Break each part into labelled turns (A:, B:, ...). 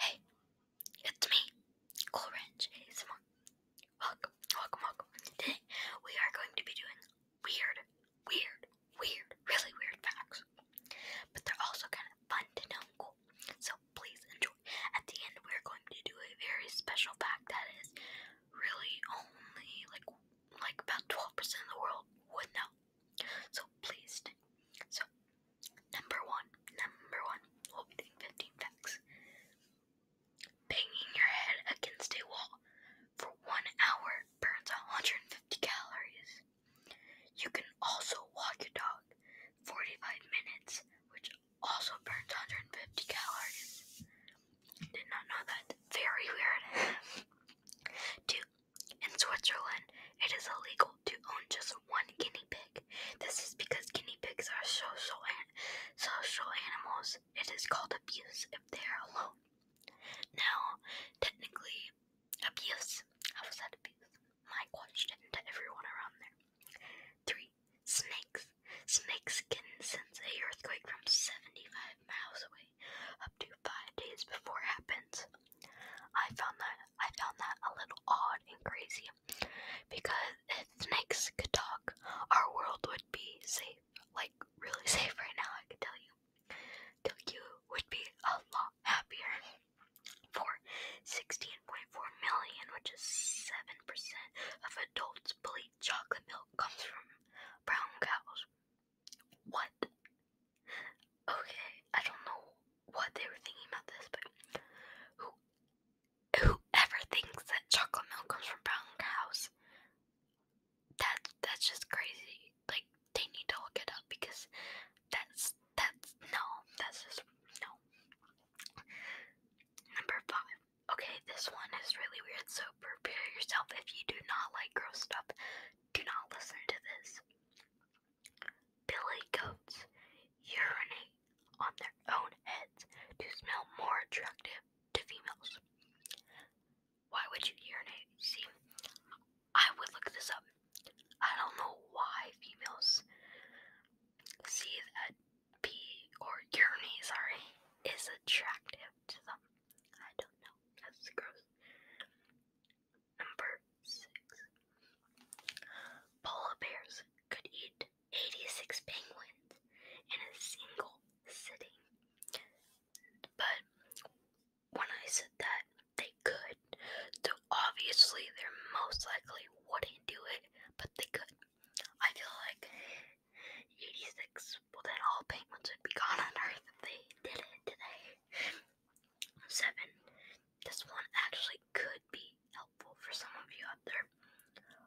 A: Hey, it's me, Cool Ranch ASMR. Welcome, welcome, welcome. Today we are going to be doing weird, weird, weird, really weird facts. But they're also kind of fun to know So please enjoy. At the end we're going to do a very special fact that is really only like like about 12% of the world would know. So please, so Number one, number one, holding 15 facts. Banging your head against a wall for one hour burns 150 calories. You can also walk your dog 45 minutes, which also burns 150 calories. Did not know that. Very weird. Two, in Switzerland, it is illegal to own just one guinea pig. This is because guinea pigs are social, an- social animals. It is called abuse if they are alone. Now, technically, abuse. How was that abuse? My question to everyone around there. Three, snakes. Snakes can sense a earthquake from 75 miles away up to five days before it happens. I found that I found that a little odd and crazy because if snakes could talk, our world would be safe, like really safe right now, I can tell you. Tokyo would be a lot happier for 16.4 million, which is 7% of adults believe chocolate milk comes from brown cows. What? Okay, I don't know what they were thinking about this, but who whoever thinks that chocolate milk comes from brown cows, that that's just crazy. Like they need to look it up because that's that's no, that's just no. Number five. Okay, this one is really weird, so prepare yourself if you do not like gross stuff. Do not listen to this. Billy goats urinate on their own heads to smell more attractive to females. Why would you urinate? See, I would look this up. I don't know why females see that pee or urinate, sorry, is attractive to them. I don't know. That's gross. Number 6. Polar bears could eat 86 penguins in a single sitting. But when I said that they could, so obviously they're most likely wouldn't do it, but they could. I feel like 86, well, then all penguins would be gone on Earth if they did it today. Seven. This one actually could be helpful for some of you out there.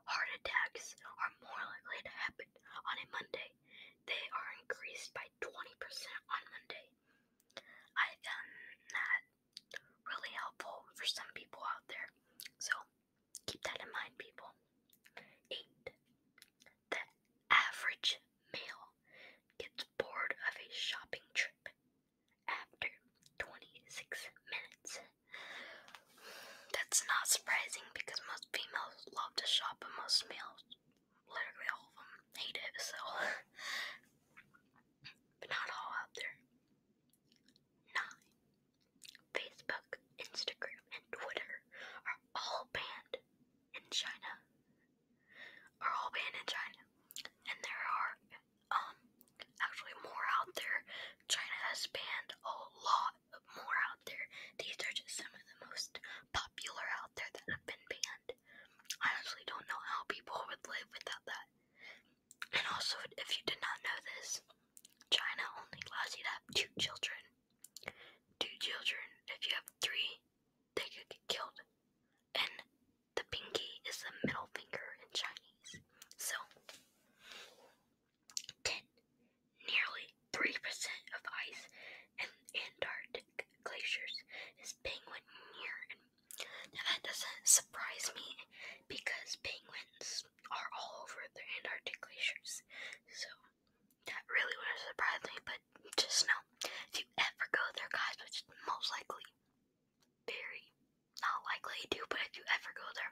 A: Heart attacks are more likely to happen on a Monday. They are increased by 20% on Monday. I found that really helpful for some people out there. So keep that in mind, people. 8. The average male gets bored of a shopping trip after 26 minutes. That's not surprising because most females love to shop, but most males, literally all of them, hate it, so. but not all out there. 9. Facebook, Instagram, and Twitter are all banned in China. Are all banned in China. And there are um, actually more out there. China has banned a lot more out there. These are just some of the most popular out there that have been banned. I honestly don't know how people would live without that. And also, if you did not know this, China only allows you to have two children. Two children. If you have three, they could get killed. And the pinky is the middle finger in Chinese. So, Nearly 3% of ice in Antarctic glaciers is penguin near. Now, that doesn't surprise me because penguins are all over the Antarctic glaciers. So, that really wouldn't surprise me, but just know if you ever go there, guys, which is most likely very, not likely you do, but if you ever go there,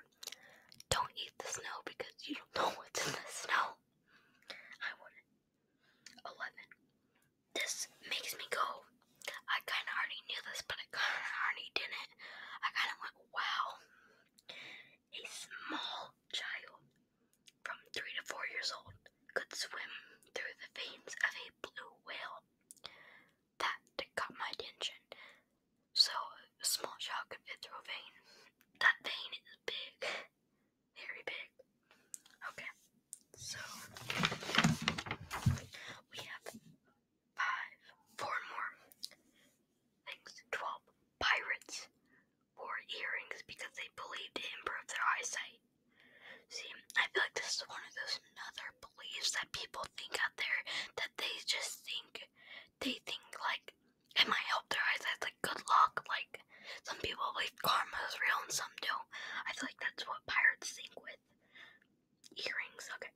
A: don't eat the snow because you don't know what's in the snow. I would 11. This makes me go, I kind of already knew this, but I kind of already didn't. I kind of went, wow. A small child from 3 to 4 years old could swim through the veins of a blue whale that caught my attention. So a small shot could fit through a vein. That vein is big, very big. Okay, so we have five, four more things. Twelve pirates wore earrings because they believed it improved their eyesight. See, I feel like this is one of those another beliefs that people think out there that they just think they think like it might help their eyes. eyesight, like good luck. Like some people believe karma is real and some don't. I feel like that's what pirates think with earrings. Okay,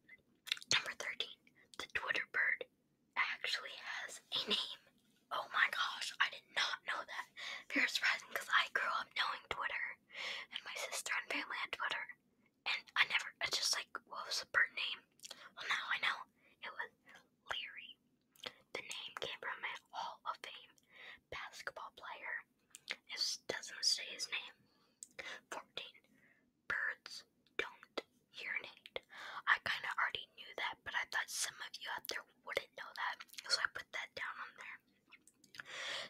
A: number thirteen, the Twitter bird actually has a name. Oh my gosh, I did not know that. Very surprising because I grew up knowing Twitter and my sister and family on Twitter and I never, I just like, what was the bird name? Well, now I know. It was Leary. The name came from a Hall of Fame basketball player. It doesn't say his name. 14. Birds don't urinate. I kind of already knew that, but I thought some of you out there wouldn't know that, so I put that down on there.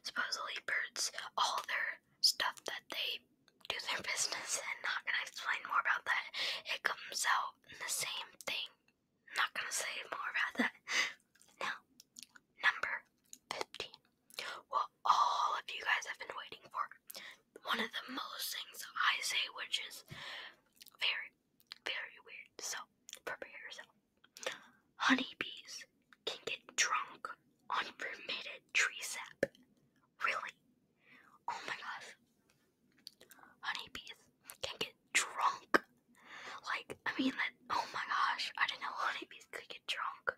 A: Supposedly, birds, all their stuff that they do their business in, not gonna explain more about that. It comes out in the same thing. Not gonna say more about that. Now, number 15. What all of you guys have been waiting for. One of the most things I say, which is very, very weird. So, prepare yourself. Honeybees can get drunk Unpermitted tree sap. Really? Oh my gosh. Honeybees can get drunk. Like, I mean, that, oh my gosh. I didn't know honeybees could get drunk.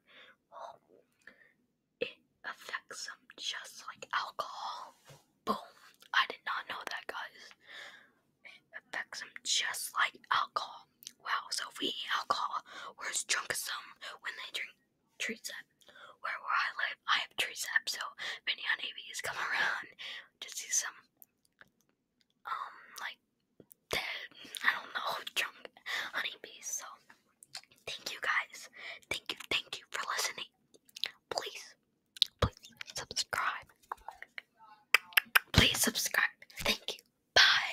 A: it affects them just like alcohol. Boom. I did not know that, guys. It affects them just like alcohol. Wow, so we eat alcohol, we're as drunk as some when they drink treesap. Where where I live, I have treesap, so many honeybees come around just see some, um, like dead, I don't know, drunk honeybees. So thank you guys, thank you, thank you for listening. Please, please subscribe. Please subscribe. Thank you. Bye.